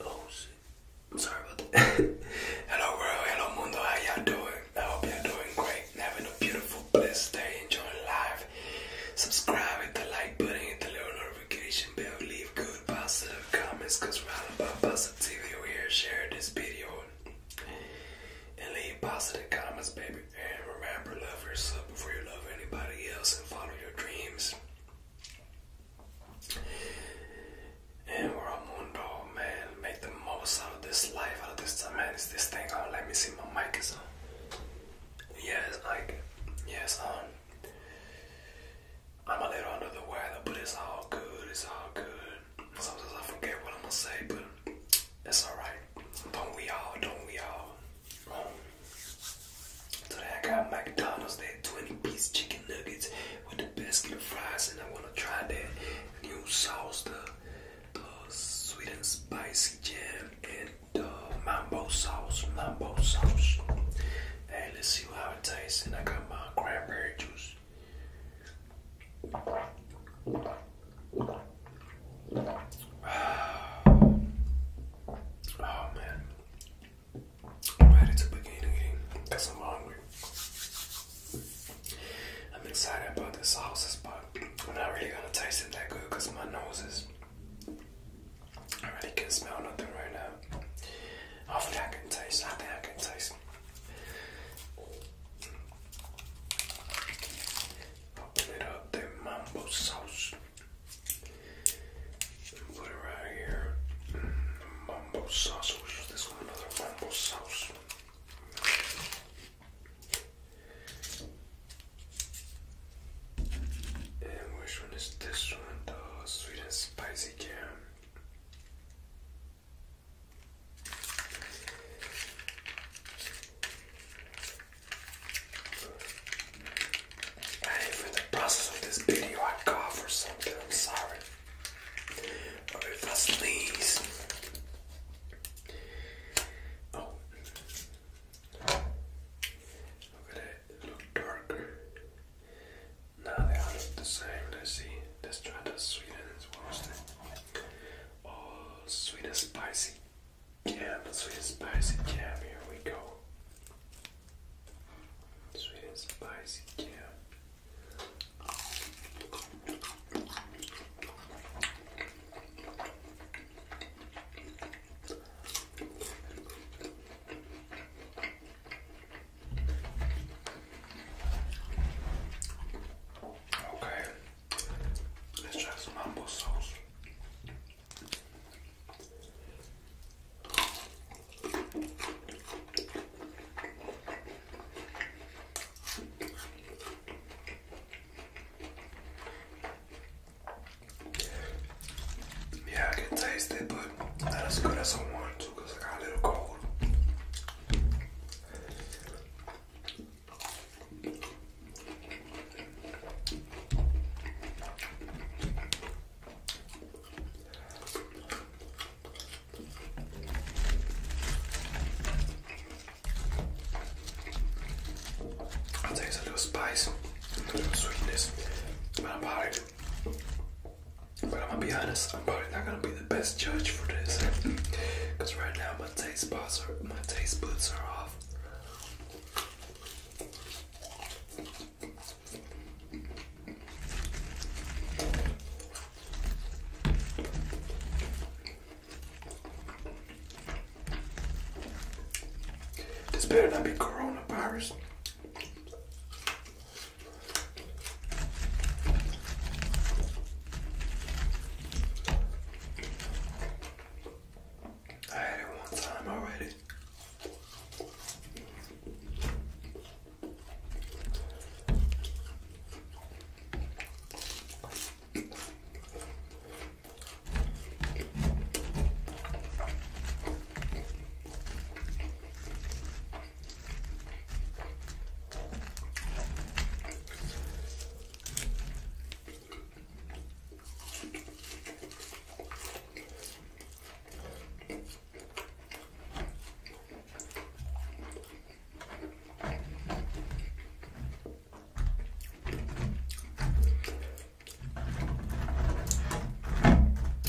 Oh, i hello world, hello mundo, how y'all doing? I hope y'all doing great. Having a beautiful blessed day, Enjoy life. Subscribe, hit the like button, hit the little notification bell, leave good positive comments cause we're all about positivity We're here. Share this video and leave positive comments, baby. And remember, love yourself before you love anybody else and follow your dreams. And Romundo, man, make the most out of this life, out of this time. Man, is this thing on? Oh, let me see, my mic is on. Yes, like, yes, on. I'm a little under the weather, but it's all good, it's all good. Sometimes I forget what I'm gonna say, but it's alright. Don't we all, don't we all? Um, Today I got McDonald's, that 20 piece chicken nuggets with the basket of fries, and I want to try that new sauce, the, the sweet and spicy jam, and the mambosauce, mambosauce. Mambo let's see how it tastes. And I got my cranberry juice. Oh man, I'm ready to begin eating because I'm hungry. I'm excited about this sauces, but I'm not really gonna taste it that good because my nose is. I really can't smell nothing right now. Hopefully, I can taste. I think I can taste. Open it up, the mambo Put it right here. Mumbo sauce. We'll use this one, another mumbo sauce. And which one is this one? The sweet and spicy cam. And if the process of this video I cough or something, I'm sorry. Or if I sneeze. Oh. Look at that. It darker. Now they all look the same. Let's see. Let's try the oh, sweet and Oh, sweet spicy. Jam, sweet and spicy jam, here we go. Sweet and spicy jam. Okay, let's try some humble sauce. Yeah, I can taste it, but not as good as I wanted to because I got a little cold. There's a little spice, a little sweetness, but I'm worried. But I'm gonna be honest, I'm probably not gonna be the best judge for this. Cause right now my taste buds are my taste buds are off. This better not be coronavirus. I had it one time already.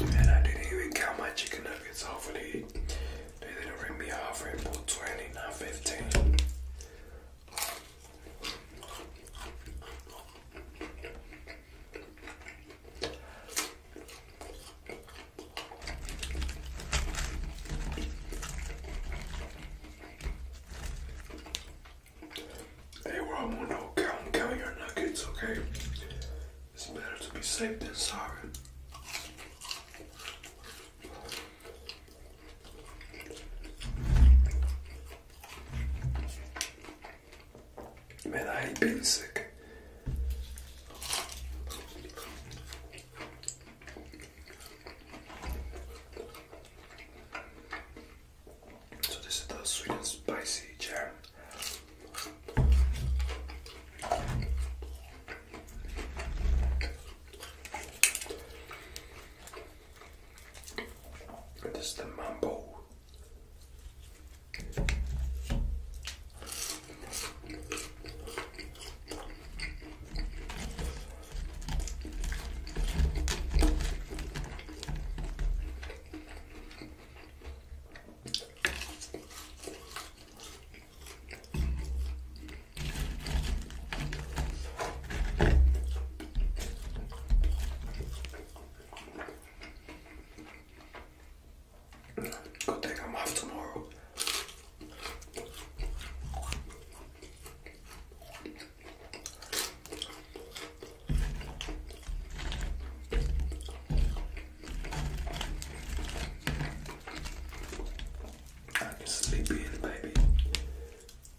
And I didn't even count my chicken nuggets. Hopefully, they didn't ring me off for and pull 20, not 15. Hey, we're all one out. Count, count your nuggets, okay? It's better to be safe than sorry. Man, I ain't been sick. So this is the sweet and spicy jam. This is the mambo. Good thing I'm off tomorrow. I can sleep in, baby.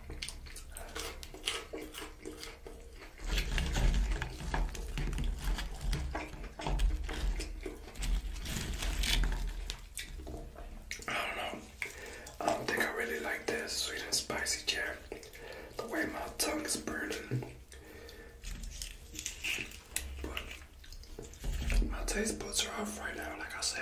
I don't know. I don't think I really like this sweet and spicy jam. The way my tongue is burning. But my taste buds are off right now, like I said.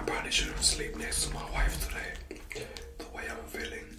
I probably shouldn't sleep next to my wife today, the way I'm feeling.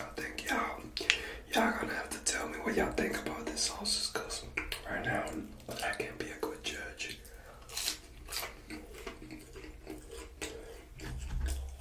I think y'all, y'all gonna have to tell me what y'all think about this sauce cause right now I can't be a good judge.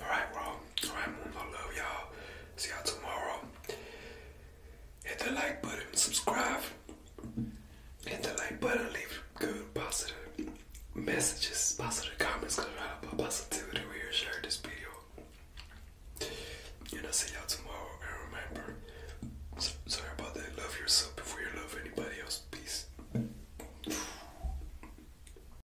Alright, well, alright, I love y'all. See y'all tomorrow. Hit the like button, subscribe. Hit the like button, leave good positive messages, positive comments, because about positivity. We here share this video. And I'll see y'all tomorrow. And remember, sorry about that. Love yourself before you love anybody else. Peace.